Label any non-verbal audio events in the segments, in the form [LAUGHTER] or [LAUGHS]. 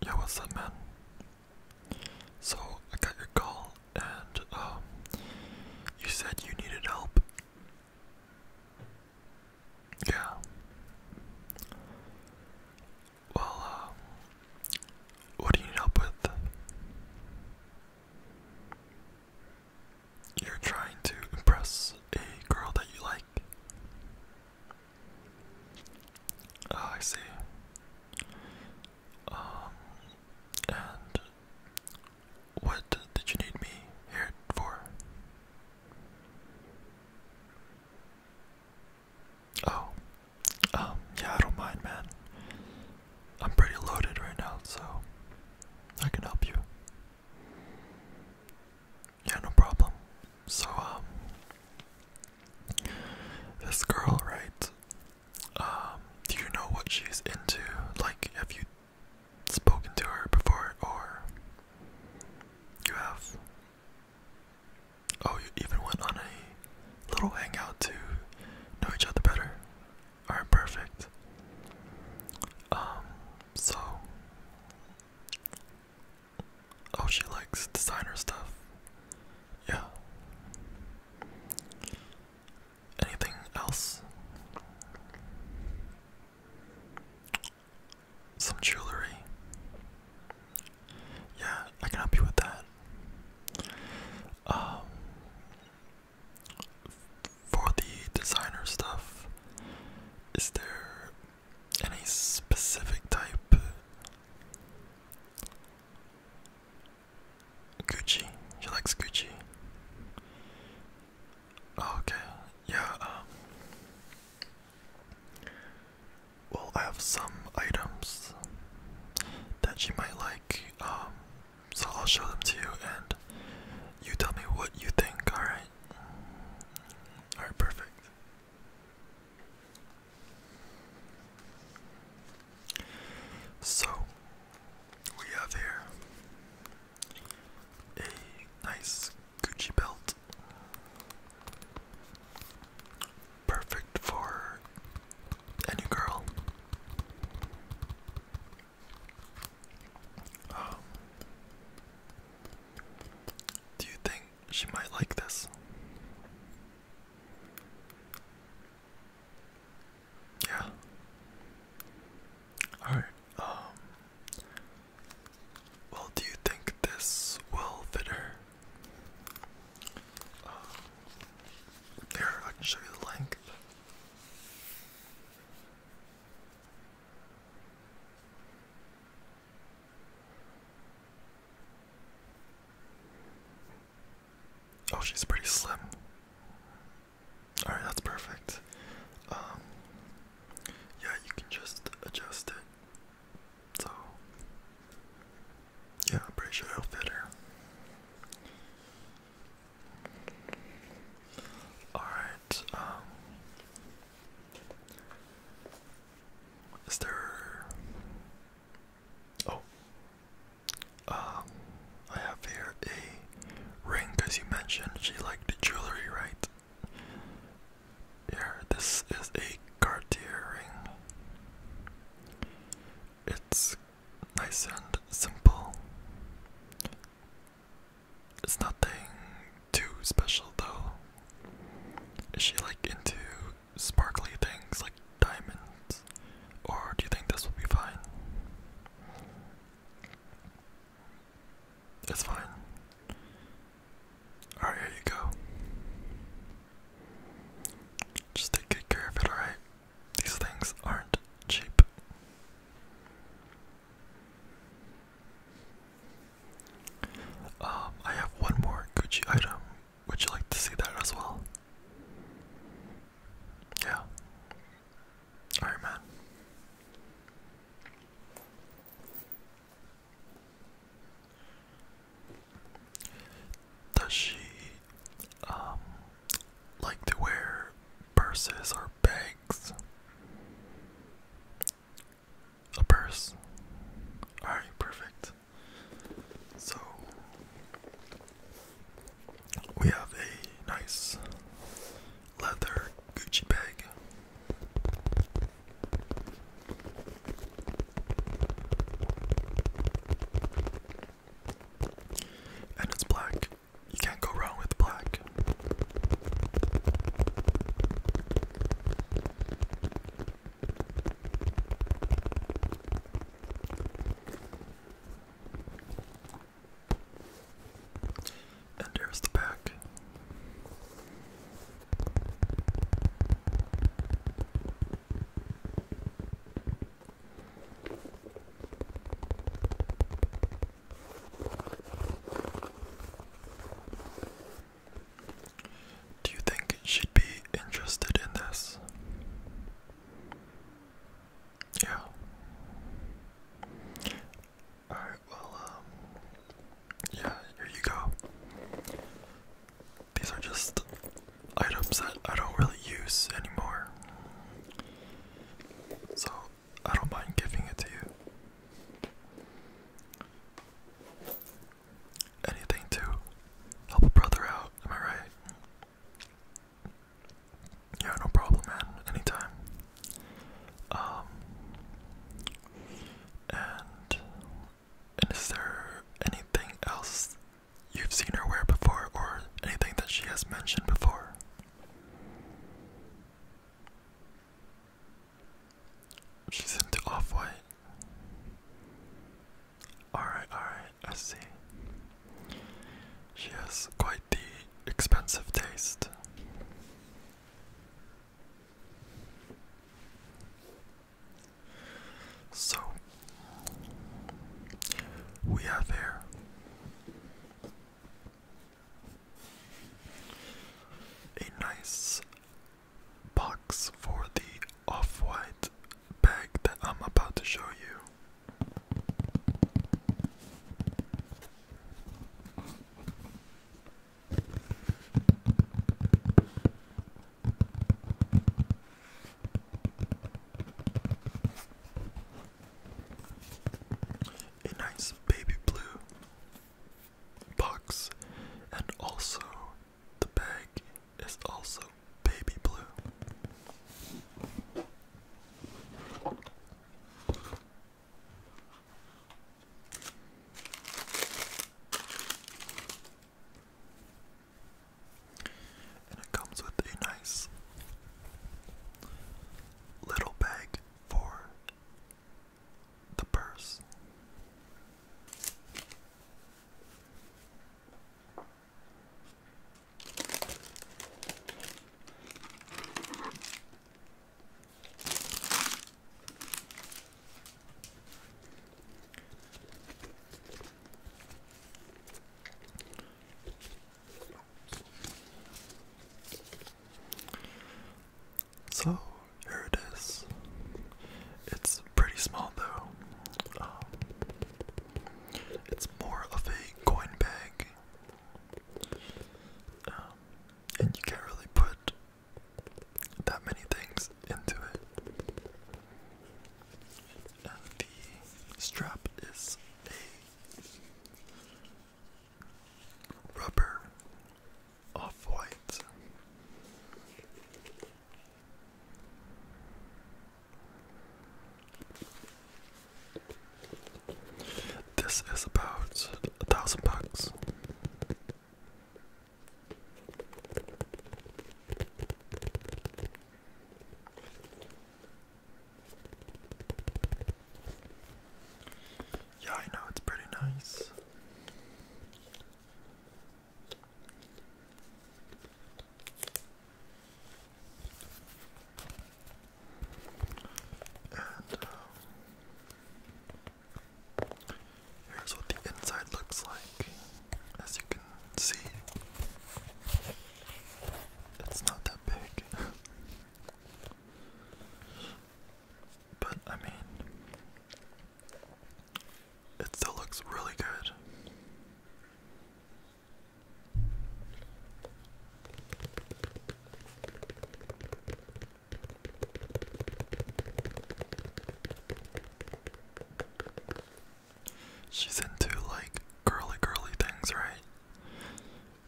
Yeah, what's up, man? So, I got your call, and, um, you said you needed help. Yeah. Well, um, what do you need help with? You're trying to impress a girl that you like. Ah, I see. Um, and what did you need me here for? Oh, um, yeah, I don't mind, man. I'm pretty loaded right now, so I can help you. Yeah, no problem. So, um, this girl, right? Um, do you know what she's into? Like, have you spoken to her before, or you have? Oh, even went on a little hangout to know each other better. Alright, perfect. Um, so Oh, she likes designer stuff. Yeah. Anything else? Some jewelry. Yeah, I can help you with that. Um, for the designer stuff, is there any specific type. Gucci. She likes Gucci. Oh, okay. Yeah. Um, well, I have some items that she might like. Um, so I'll show them to you, and you tell me what you think. All right. All right. Perfect. Perfect. So we have here a nice Gucci belt. Perfect for any girl. Um, do you think she might like this? Yeah. Alright, um. Well, do you think this will fit her? Um, here, I can show you the length. Oh, she's pretty slim. Alright, that's perfect. Um, yeah, you can just adjust it. So, yeah, I'm pretty sure it'll fit her. Alright, um, is there? Oh, um, I have here a ring because you mentioned she liked jewelry, right? Here, this is a Cartier ring. It's nice and simple. It's nothing too special though. Is she like into sparkly things like diamonds? Or do you think this will be fine? It's fine. Alright, here you go. Just take good care of it, alright? These things aren't cheap. Um, I have one more Gucci item. Would you like to see that as well? Yeah. Alright, man. Does she um like to wear purses or bags? A purse. Alright, perfect. So we have a nice leather Gucci bag. And it's black. You can't go wrong with black back. And there's the back. Do you think she'd be interested in this? Yeah. Alright, well, um, yeah, here you go. These are just items that I don't really use anymore. So I don't mind giving it to you. Anything to help a brother out, am I right? Yeah, no problem, man. Anytime. Um, and, is there anything else you've seen her wear before, or anything that she has mentioned before? She's into off white. Alright, alright, I see. She has quite the expensive taste. So, we have here a nice box for the off white bag that I'm about to show you a nice baby blue box, and also the bag is also baby blue. And it comes with a nice little bag for the purse. So here it is. It's pretty small though. Um, it's more of a coin bag, um, and you can't really put that many things into it. the strap is a Rubber off white. This is about a thousand bucks. Yeah, I know it's pretty nice. And um, here's what the inside looks like. As you can see, it's not that big. [LAUGHS] But I mean, it still looks really good. She's into like girly girly things, right?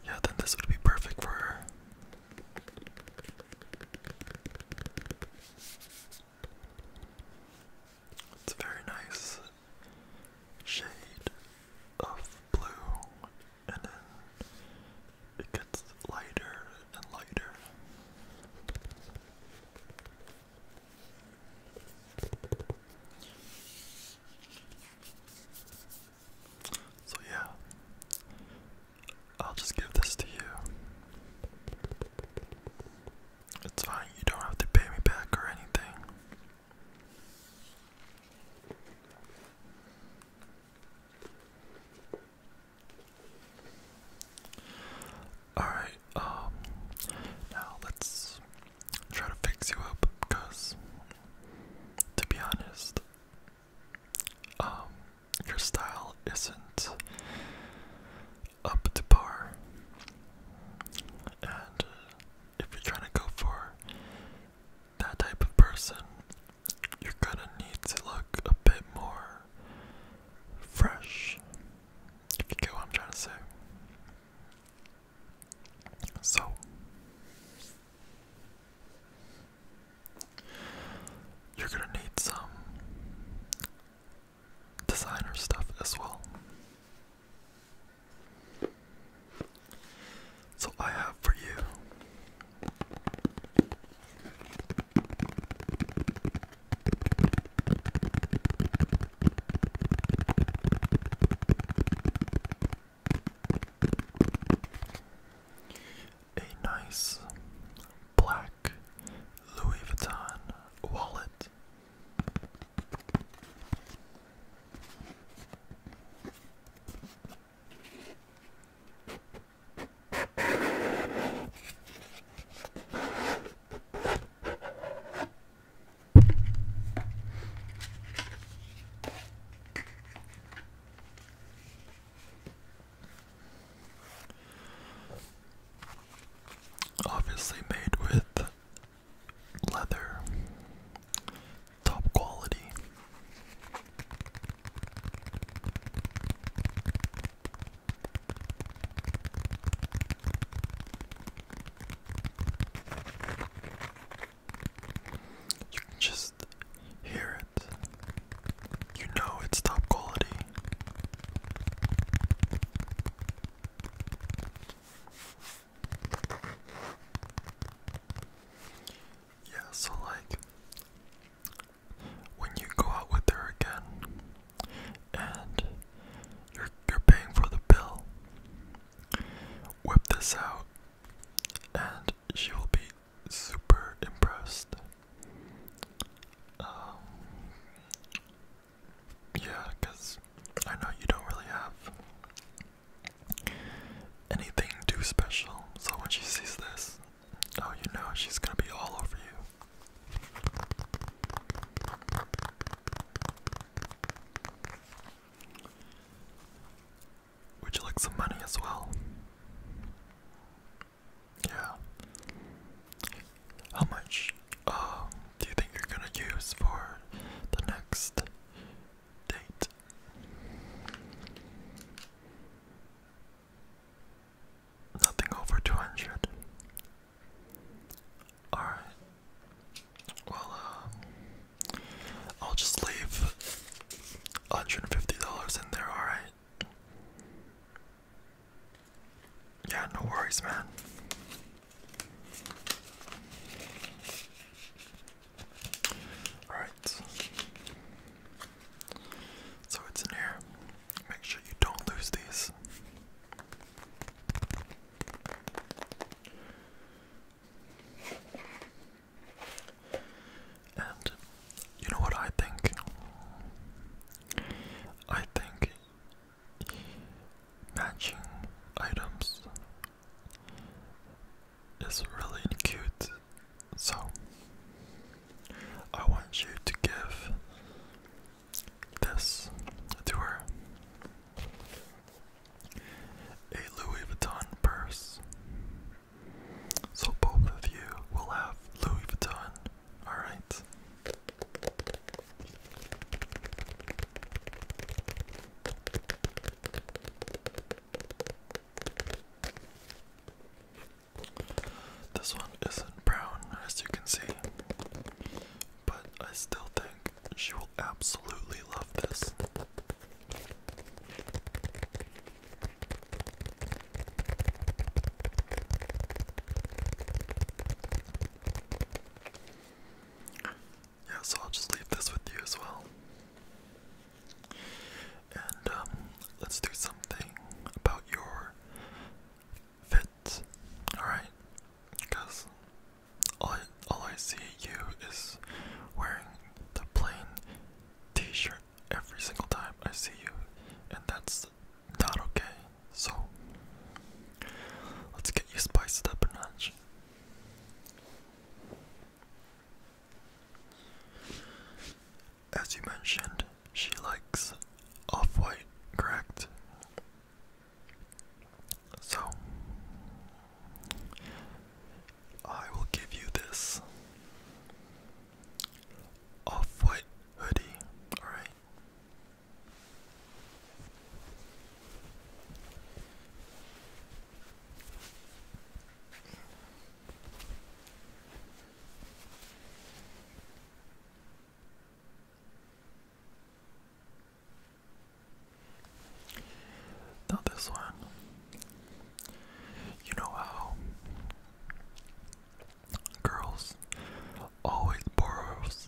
Yeah, then this would be perfect for her. It's a very nice shade of blue, and then it gets lighter and lighter. So yeah, I'll just give this to you. It's fine, you don't have to pay me back or anything. Alright, um, now let's try to fix you up because to be honest. Um, your style isn't up to par, and uh, if you're trying to go for that type of person, you're gonna need to look a bit more fresh. If you get what I'm trying to say. So, you're going to need some designer stuff as well. So, I have for you a nice black Louis Vuitton wallet. Obviously made with leather, top quality. You just hear it. You know it's top quality. Yeah, so like when you go out with her again and you're you're paying for the bill, whip this out and she will be super impressed. Um, I know you don't really have anything too special, so when she sees this, oh, you know, she's gonna be all over you. Would you like some money as well? Yeah. How much um, do you think you're gonna use for the next date? Nothing over 200. Alright. Well, um, I'll just leave $150 in there, alright? Yeah, no worries, man. Alright. So it's in here. Make sure you don't lose these. And you know what I think? I think matching items is really cute. So I want you to give this to her a Louis Vuitton purse. So both of you will have Louis Vuitton, alright? This one isn't brown, as you can see, but I still think she will absolutely love this. Yeah, so I'll just leave this with you as well. And um, let's do something about your fit. Alright? Cause all I, all I see you is wearing the plain T-shirt every single time I see you, and that's not okay. So let's get you spiced up a notch. As you mentioned, she likes off-white, correct? So, I will give you this off white hoodie, alright? Not this one, you know how girls always borrows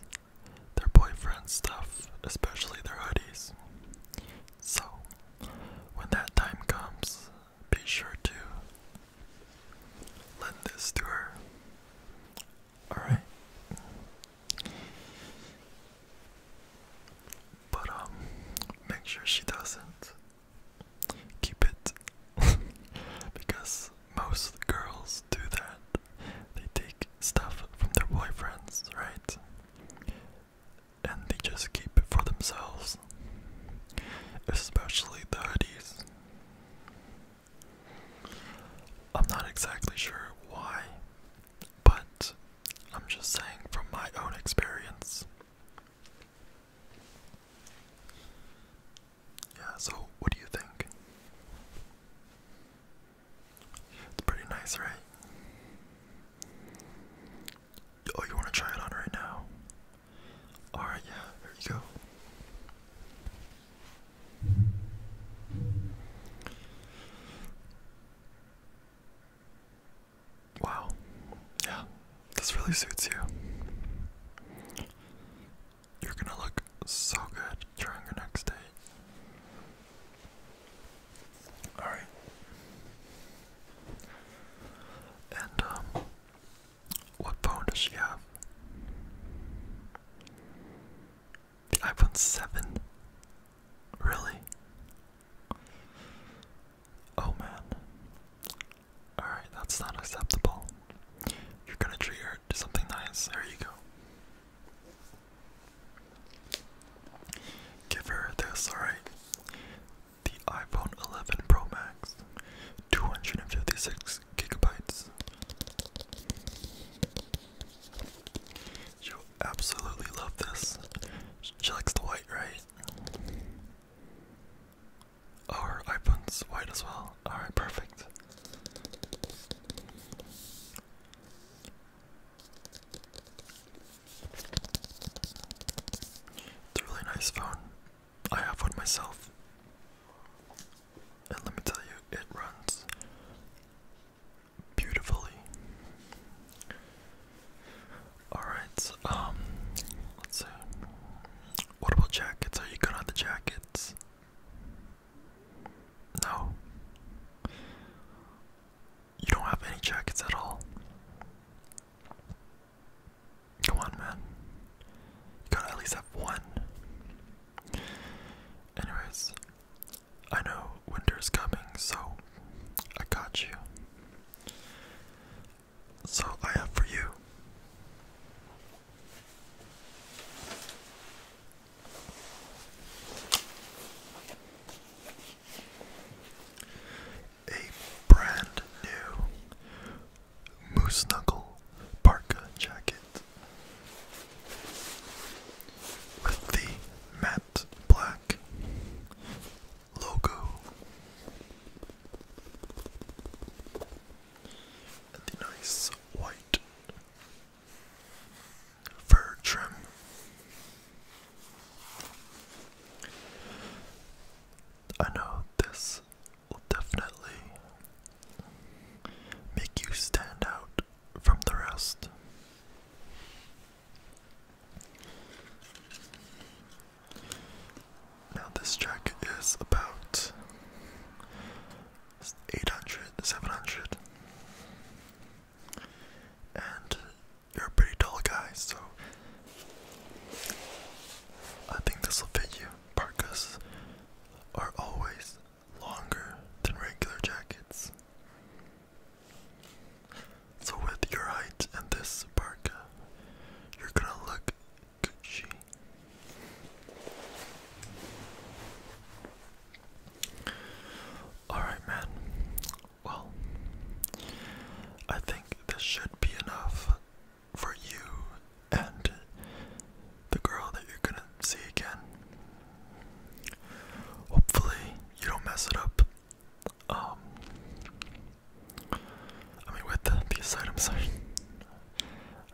their boyfriend's stuff, especially their hoodies. So, when that time comes, be sure to lend this to her. All right. But um, make sure she doesn't keep it [LAUGHS] because most girls do that. They take stuff from their boyfriends, right? And they just keep it for themselves, especially the hoodies. I'm not exactly sure why, but I'm just saying from my own experience. Yeah, so what do you think? It's pretty nice, right? Oh, you want to try it on right now? Alright, yeah, there you go. Wow. Yeah, this really suits you. You're gonna look so good during your next date. Alright. And, um, what phone does she have? The iPhone 7? Really? Oh man. Alright, that's not acceptable. You're gonna treat her to something nice. There you go. Give her this, alright? The iPhone 11 Pro Max, 256 gigabytes. She'll absolutely love this. She likes the white, right? Oh, iPhone's white as well. Alright, perfect. It's a really nice phone. I have one myself. And let me tell you, it runs beautifully. Alright, um, let's see. What about jackets? Are you good on the jackets? No. You don't have any jackets at all. Come on, man. You gotta at least have one. Anyways, I know winter's coming, so I got you. So I have for you. A brand new Moose Knuckle Parka jacket with the matte black logo and the nice white fur trim. I know this will definitely make you stand out from the rest. Now, this jacket is about 800, And you're a pretty tall guy, so I think this will fit you. Parkas are always longer than regular jackets. So, with your height and this parka, you're gonna look Gucci. Alright, man. Well, I think this should be enough for you and the girl that you're gonna see again Hopefully, you don't mess it up. Um, I mean, with these items,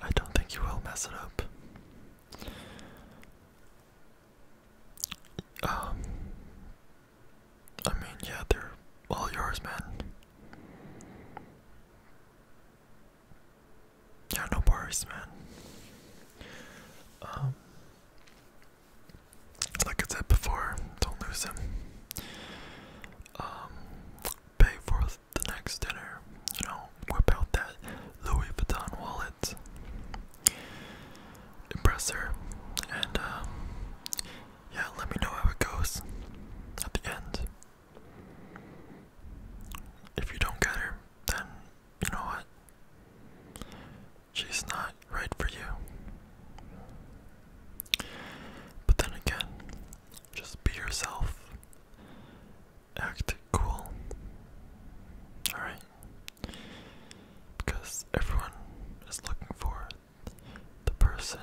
I don't think you will mess it up. Um, I mean, yeah, they're all yours, man. Yeah, no worries, man. Um, like I said before, don't lose him. Um, pay for the next dinner. You know, whip out that Louis Vuitton wallet. Impress her, and um, yeah, let me know how it goes at the end. If you don't get her, then you know what? She's not right for you. But then again, just be yourself. Act cool. Alright? Because everyone is looking for the person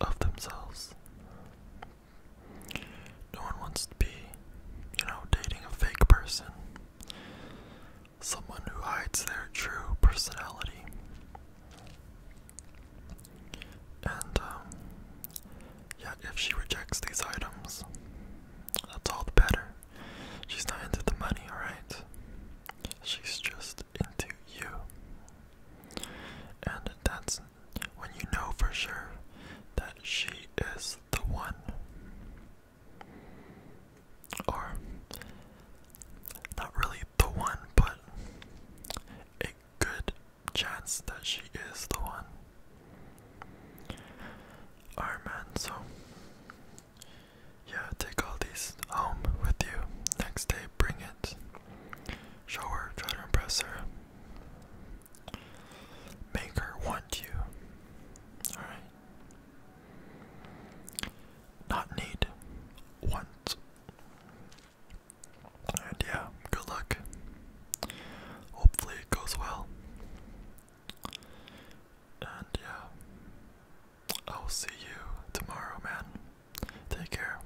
of themselves. No one wants to be, you know, dating a fake person. Someone who hides their true personality. And, um, yeah, if she rejects these items, that's all the better. She's not into the money, alright? She's just into you. And that's when you know for sure that she is the one. Or, not really the one, but a good chance that she is the one. Alright, man, so yeah, take all these home with you. Next day, bring it. Show her, try to impress her, Make her want you. Alright. Not need. Want. And yeah, good luck. Hopefully it goes well. And yeah, I'll see you tomorrow, man. Take care.